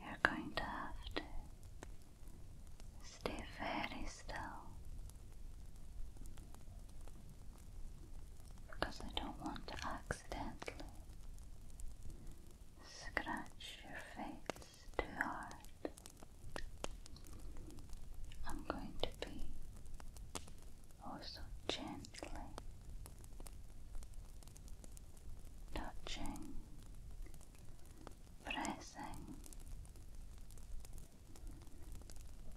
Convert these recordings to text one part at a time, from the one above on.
You're going to have to stay very still because I don't want to accidentally scratch your face too hard, I'm going to be also gently touching, pressing,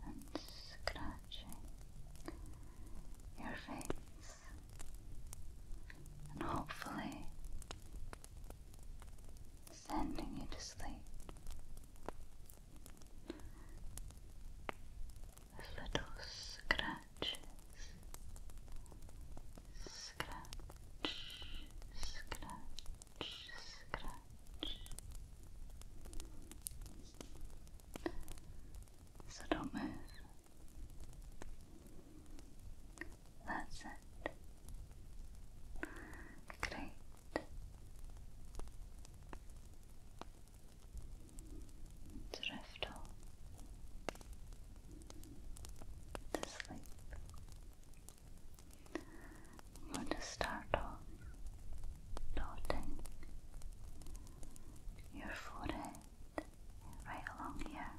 and scratching your face, and hopefully sending you to sleep with little scratches, scratch, scratch, scratch. So don't move. That's it. Great. Drift off to sleep. I'm going to start off dotting your forehead right along here.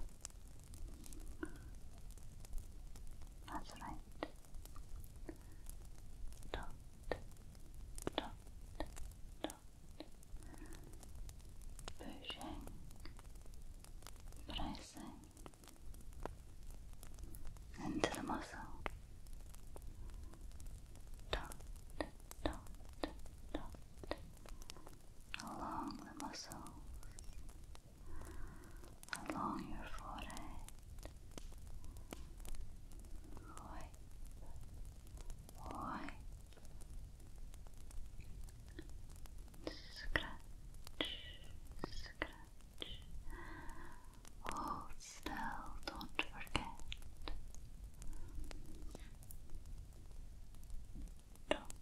That's right dot, dot, pushing, pressing into the muscle, along the muscles along your forehead. Wipe, wipe, scratch, scratch. Hold still, don't forget. Don't,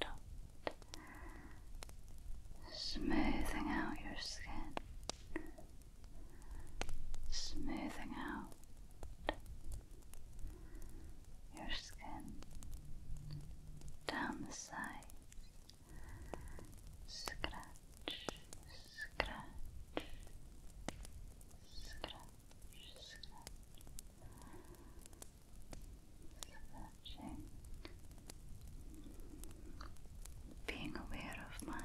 don't, don't smoothing out your skin, smoothing out your skin down the side. scratch, scratch, scratch, scratch stretching, being aware of my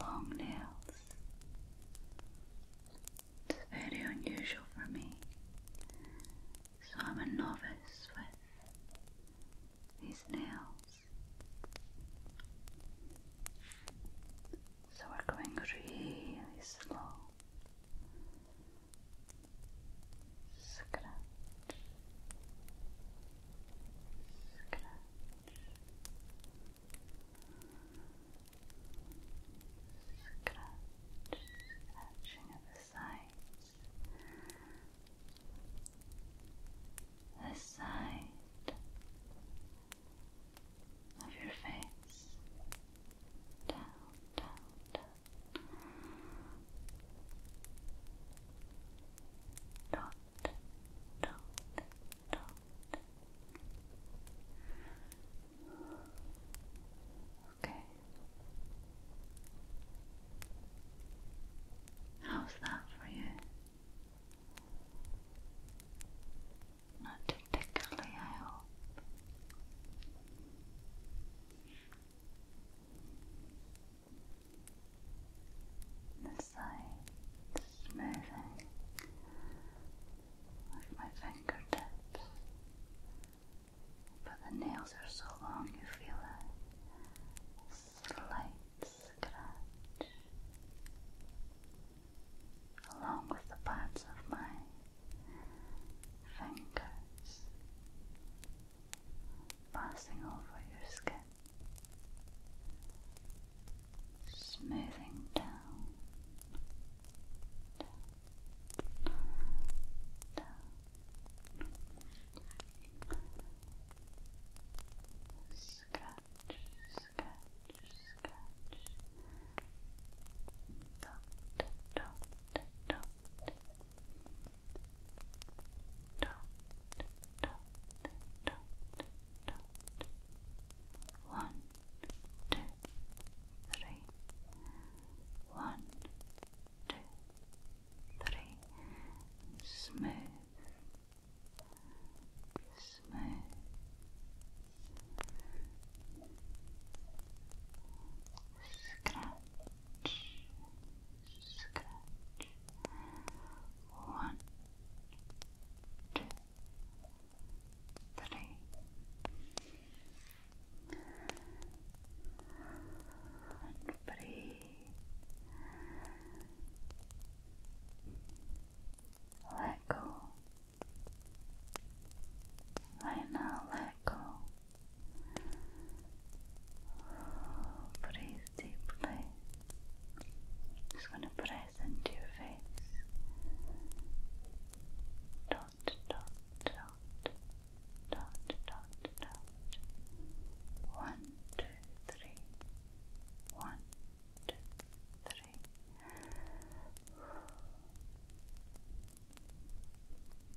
long nails. It's very unusual for me, so I'm a novice with these nails. So we're going really slow scratch, scratch. Scratch, scratching at the sides. This side of your face. Down, down, down, dot, Okay. How's that for you? Not to I hope. The sides smoothing with my fingertips, but the nails are so long you feel a slight scratch along with the pads of my fingers passing over your skin, smoothing down, down, down. Scratch, scratch, scratch. Dot, dot, dot, dot, dot, dot, dot. One, two, three. One, two, three. And smooth, smooth scratch, scratch, one, two, three. Let go. Right now, let go. Breathe deeply. Just going to press into your face. Dot, dot, dot, dot, dot, dot. One, two, three. One, two, three.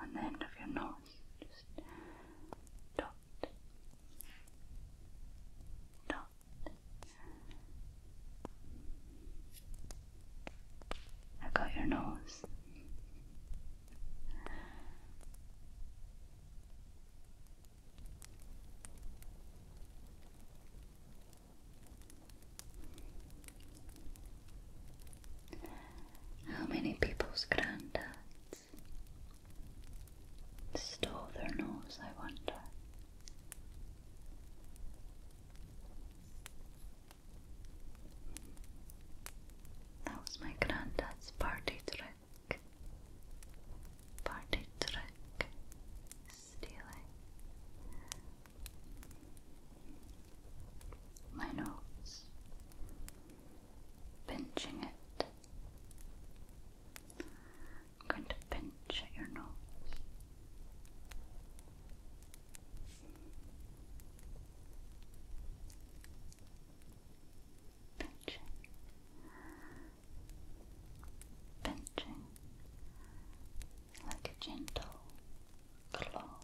on the end of your nose. Just dot, dot. I got your nose. How many people's granddads stole their nose, I wonder? That was my granddad's party trick. Party trick. Stealing nose, pinching it. I'm going to pinch at your nose. Pinching, pinching, like a gentle claw.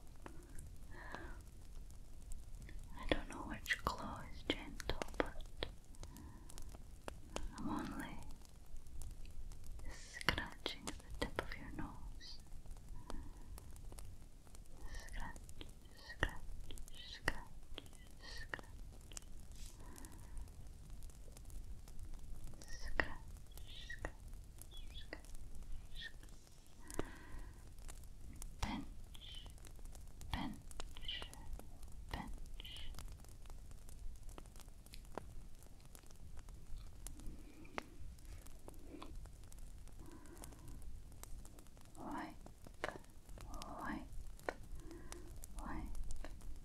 I don't know which claw is gentle, but I'm only scratching the tip of your nose. Scratch, scratch, scratch, scratch. Scratch, scratch, scratch, scratch bench, bench, bench. Wipe, wipe, wipe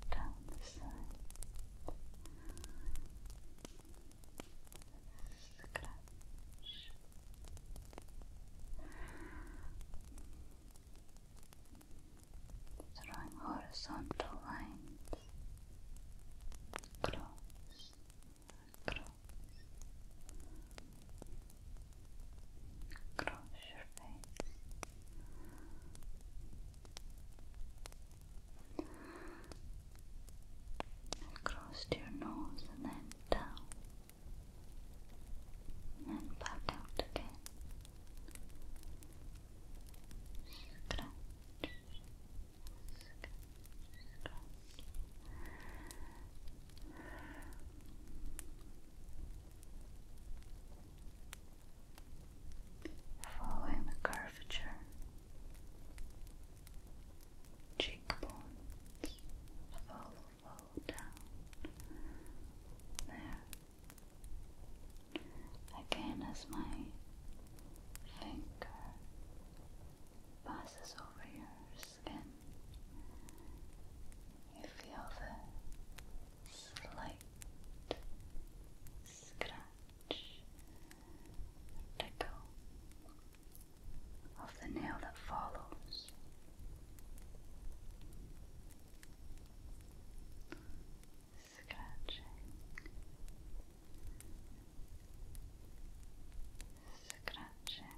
down the side. Drawing horizontal lines across, across, across your face across to your nose and then down and back out again. Following the curvature cheekbones have all down there. Again, as my finger passes over your skin, you feel the slight scratch tickle of the nail that follows. Scratching, scratching,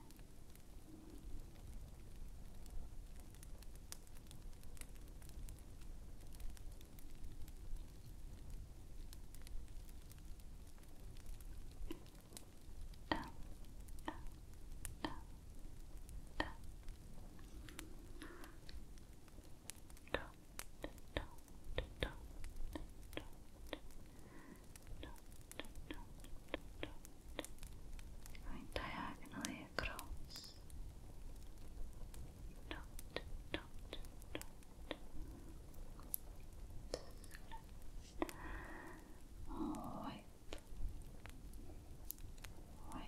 uh, uh, uh, uh. Don't, don't, don't, don't. Going diagonally across. Dot, dot, dot. Let's White, white.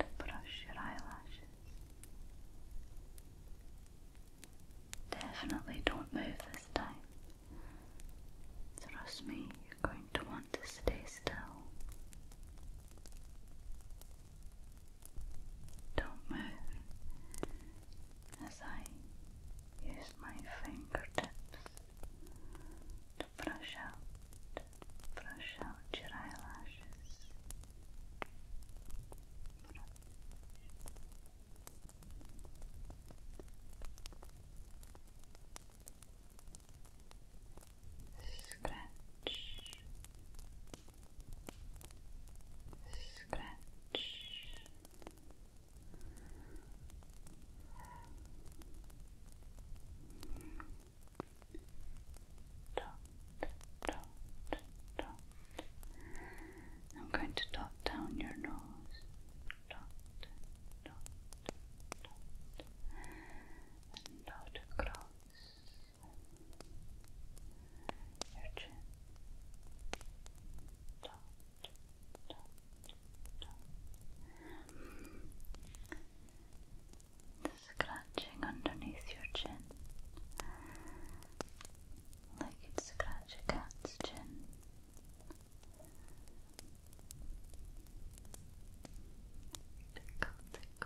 To brush your eyelashes. Definitely don't move this time. Trust me, you're going to want want to stay still. Don't move as I use my fingertips to brush out, brush out your eyelashes scratch, scratch, dot, dot, dot. I'm going to dot down your nose. Dot, dot, dot, and dot across your chin. Dot, dot, dot. The scratching underneath your chin, like you'd scratch a cat's chin. Tickle, tickle,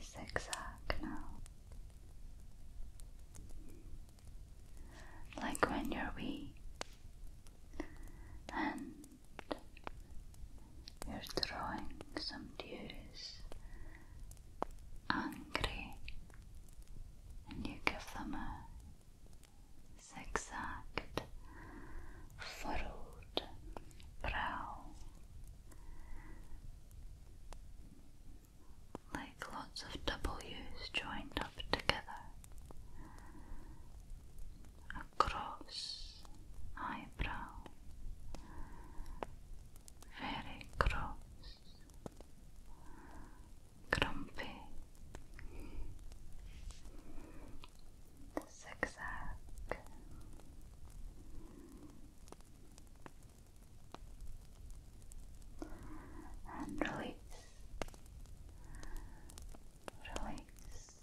zigzag now. Like when you're weak and you're drawing some duties angry and you give them a zigzagged, furrowed brow like lots of double U's joined up together. A cross eyebrow, very cross, grumpy, zigzag, and release, release,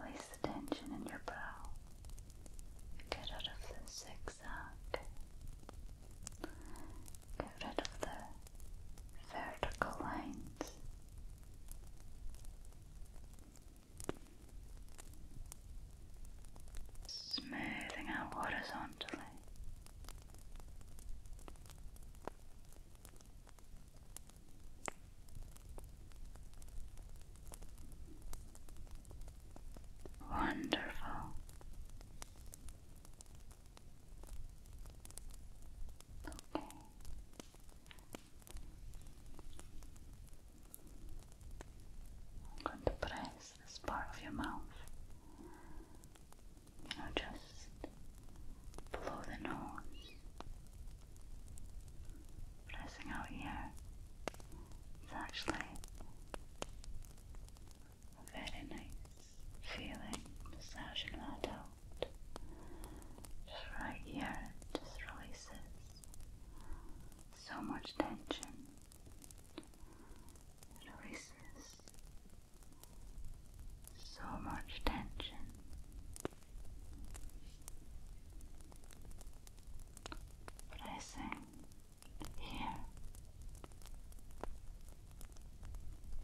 release the tension in your brow. Get rid of the zigzag. Get rid of the vertical lines smoothing out horizontally. Wonderful. Okay. I'm going to press this part of your mouth. You know, just below the nose. Pressing out here. It's actually a very nice feeling, massaging that out. Just right here, it just releases so much tension. It releases so much tension. But I sang here.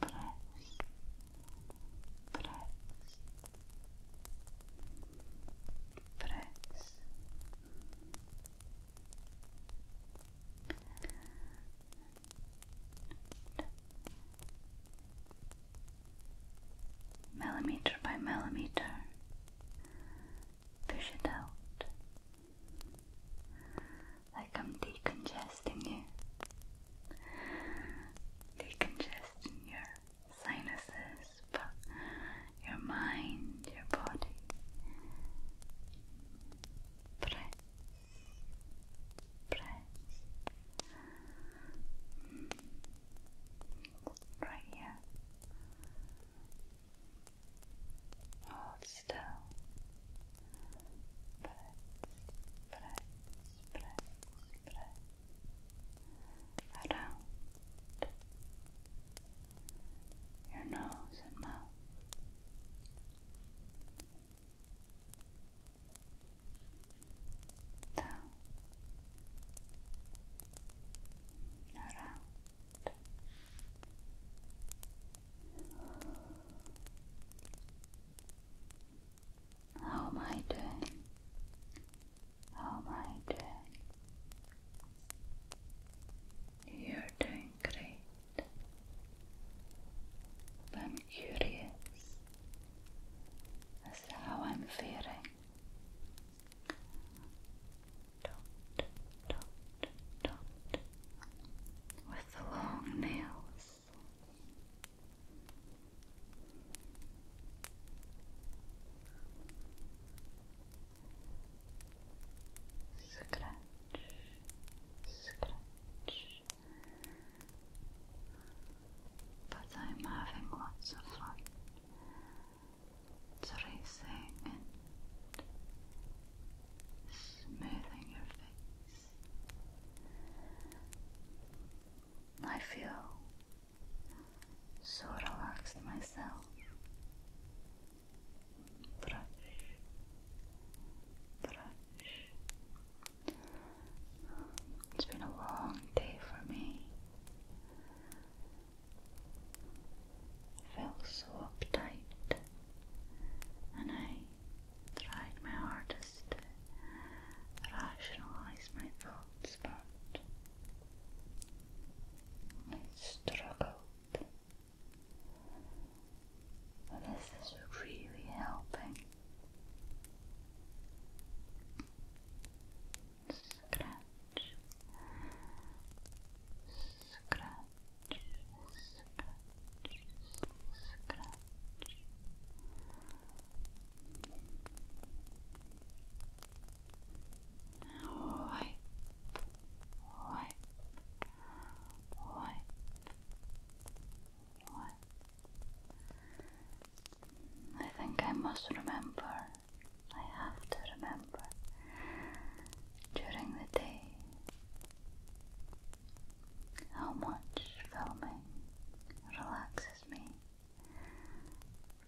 Press, press press millimeter by millimeter, push it out like I'm decongesting you, decongesting your sinuses, but your mind, your body. Press, press. Right here. Hold still. Press, press, press, press around your nose and mouth. Down, around. How am I doing? How am I doing? You're doing great. I'm curious as to how I'm feeling. Dot, dot, dot. With the long nails. Scratch, scratch. But I'm having lots of fun tracing and smoothing your face. I feel so relaxed myself. It's been a long day for me. I felt so uptight, and I tried my hardest to rationalize my thoughts, but I struggled. But is this really helping? Scratch, scratch, scratch, scratch wipe, wipe, wipe, wipe. I think I must remember. I have to remember during the day how much filming relaxes me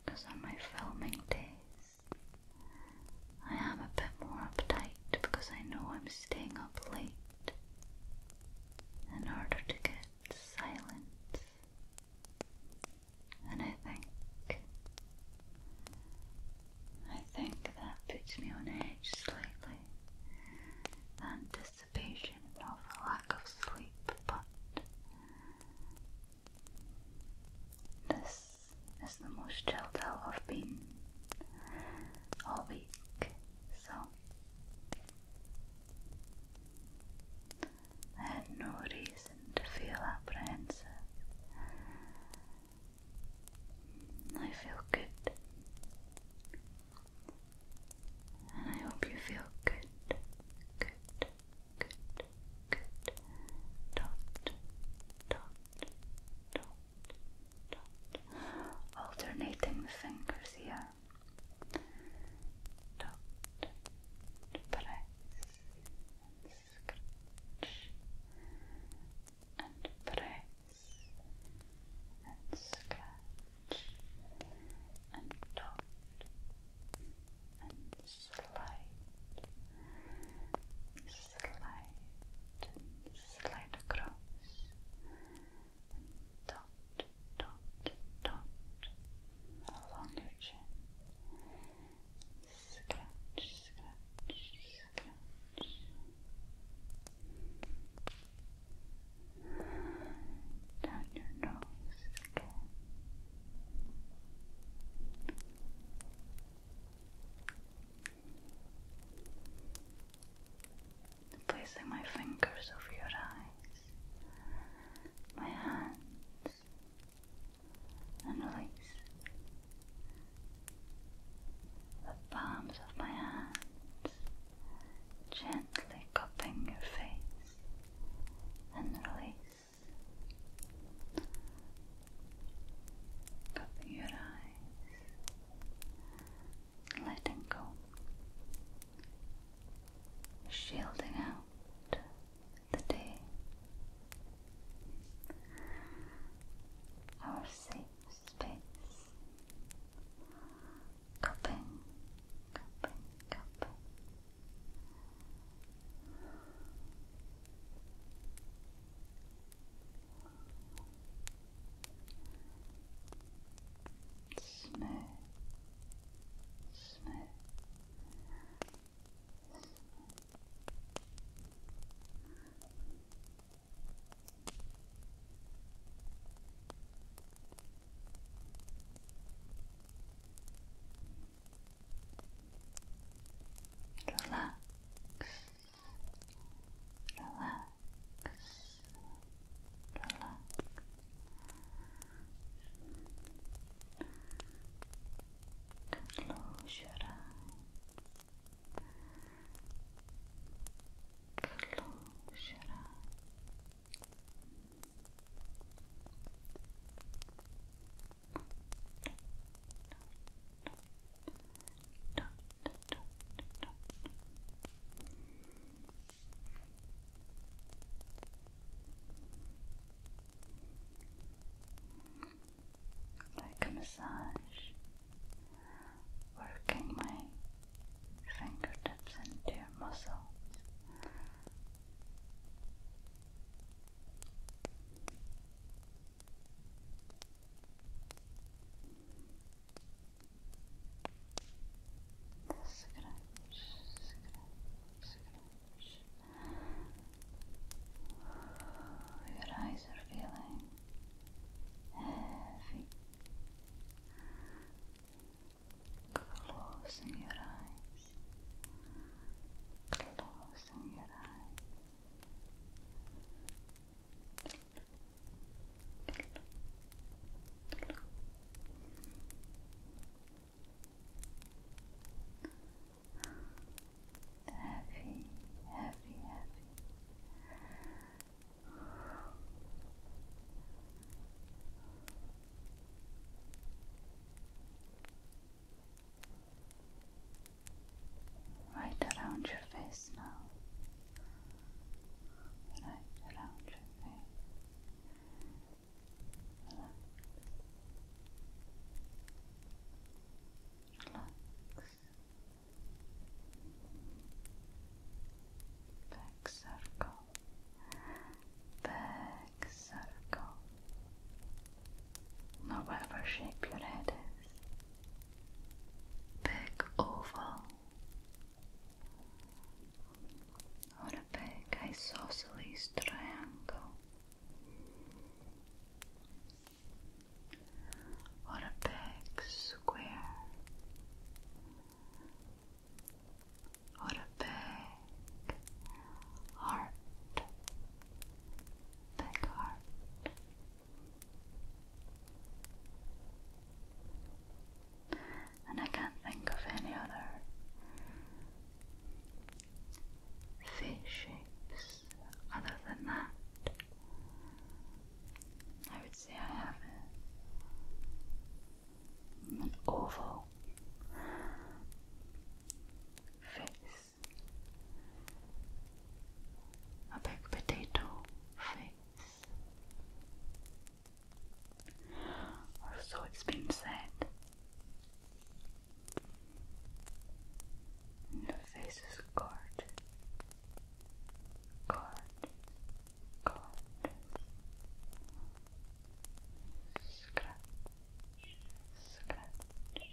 because on my filming days I am a bit more uptight because I know I'm staying up late in order to get silence. And I think, I think that puts me on edge slightly. The anticipation of lack of sleep, but this is the most chilled out I've been all week, so I had no reason to feel apprehensive. I feel good, and I hope you feel good, good, good. Dot, Alternating the fingers here. press, and press, and scratch, and Dot, and slide, slide, slide across, dot, dot, dot along your chin. Scratch, Down your nose again. Placing my fingers over your eyes, my hands, and release the palms of my hands, gently cupping your face, and release. Cover your eyes, letting go, shielding out the day. Our safe space, cupping, cupping, cupping. Snow, snow, snow. Snow. Relax. Relax. Relax. Close your eyes. Close your eyes. Like a massage, working my fingertips into your muscles. Scratch, scratch, scratch. Your eyes are feeling heavy. Closing your eyes. Closing your eyes. Heavy, heavy, heavy. Right around your face now. Right around your face. Relax. Relax. circle. Back circle or whatever shape your head is. Big oval, or a big isosceles triangle, or a big square, or a big heart big heart. And I can't think of any other face shapes other than that. I would say I have an oval face a big potato face. Or so it's been said. the face is gorgeous. Gorgeous. Gorgeous. Scratch. Scratch.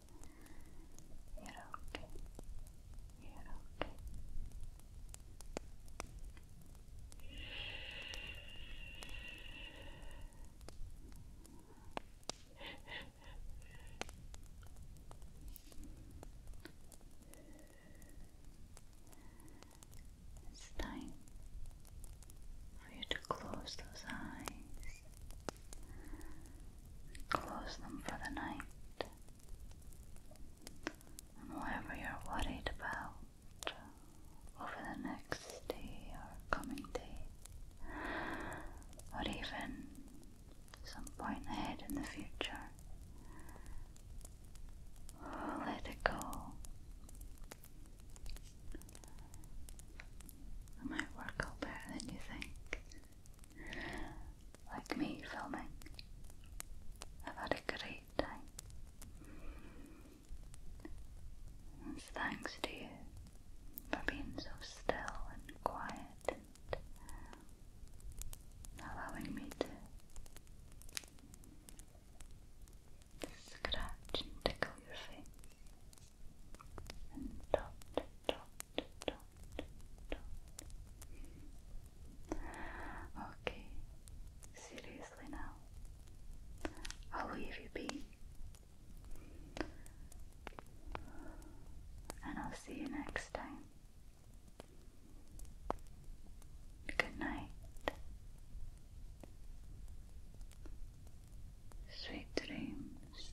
It's time for you to close those eyes. Close them for the night and whatever you're worried about over the next day or coming day, or even some point ahead in the future, let it go. It might work out better than you think like me filming. I've had a great time. It's thanks to you for being so still and quiet allowing me to scratch and tickle your face and dot, dot, Okay, seriously now, I'll leave you be, and I'll see you next time. Good night, sweet dreams.